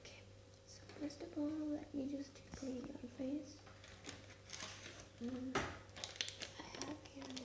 Okay, so first of all, let me just tickle your face. Mm, I have here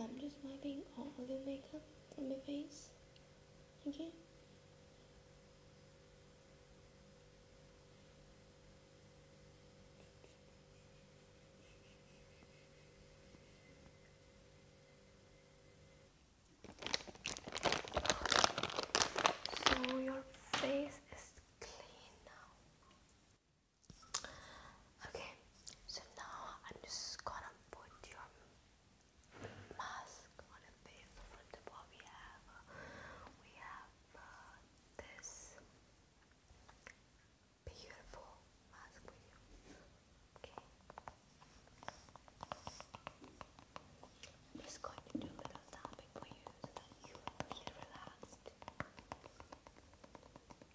I'm just wiping all of the makeup from my face. Okay? So your face is clean now. Okay, so now I'm just gonna put your mask on a face. On top, we have we have uh, this beautiful mask for you. Okay. just going to do a little tapping for you so that you feel relaxed.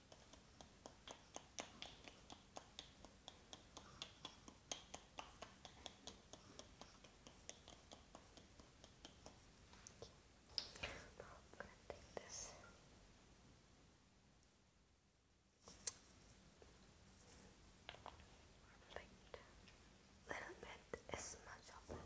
Now I'm gonna take this. Little bit is much of it.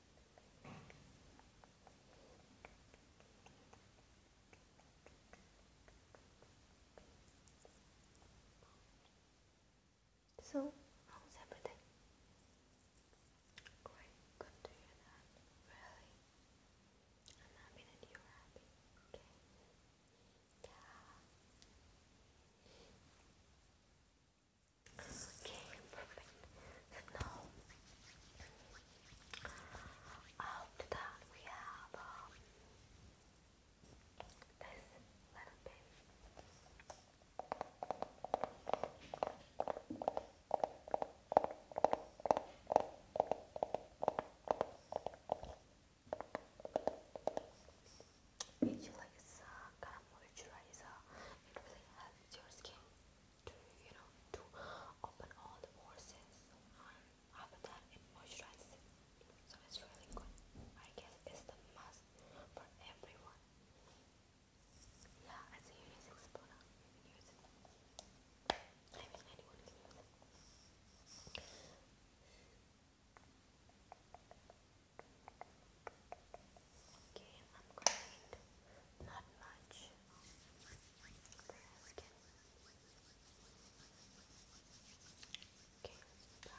So, how's everything? Great, good to hear that. Really? I'm happy that you're happy. Okay. Yeah. Okay, perfect. after that, we have this little bit. It like a kind moisturizer. It really helps your skin to you know to open all the pores after that it moisturizes so it's really good I guess it's the must for everyone yeah it's a unisex product you use it I mean anyone can it Okay, I'm going not much Okay, back.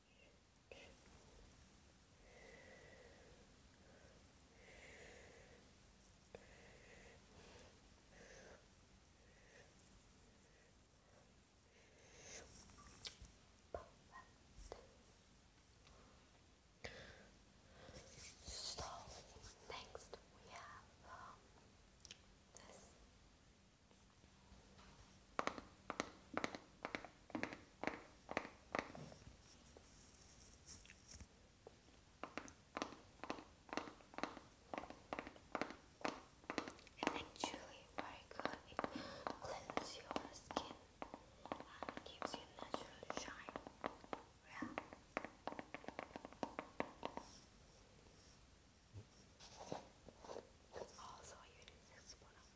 So next we have um, this and actually, very good. It your skin and gives you natural shine. Also, you need this one.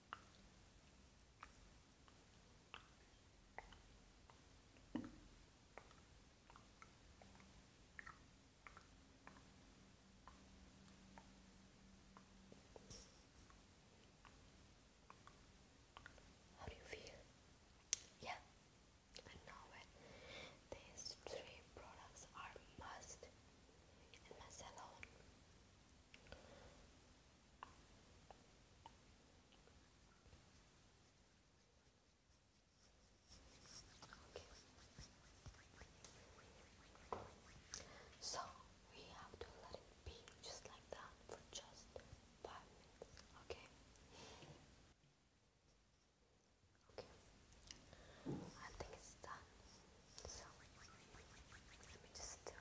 How do you feel? Yeah, I know it. These three products are must and must alone. Okay. So we have to let it be just like that for just five minutes, okay? Okay. I think it's done. So let me just do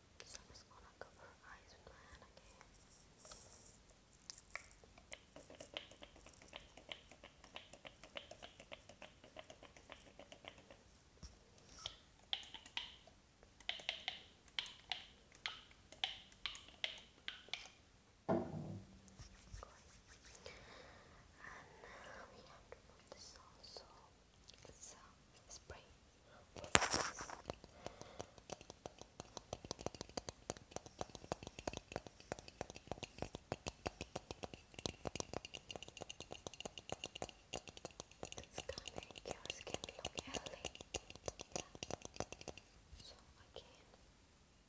So I'm just gonna cover her eyes with my hand again. And we have to put this also some spray It's gonna make your skin look healthy. So again. Just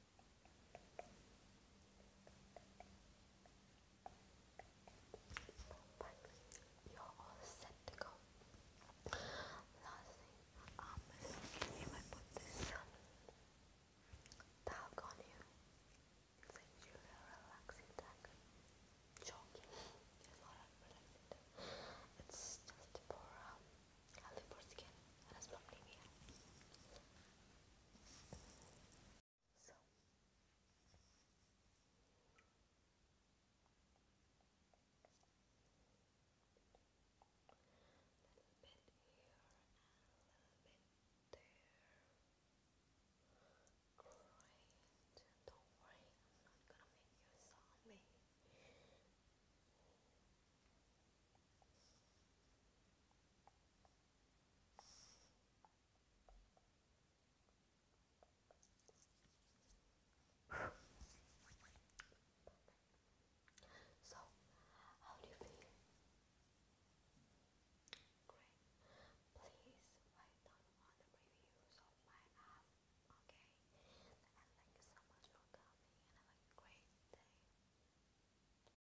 You're all set to go. Last thing, um, if I put this talc on you, it gives you a relaxing tag. Joking, it's not relaxing It's just for um, healthy for skin and it's not me. So little bit here and a little bit there. Don't worry, I'm not gonna make you a zombie. So, how do you feel? Great. Please write down all the reviews of my app, okay? And thank you so much for coming and great day.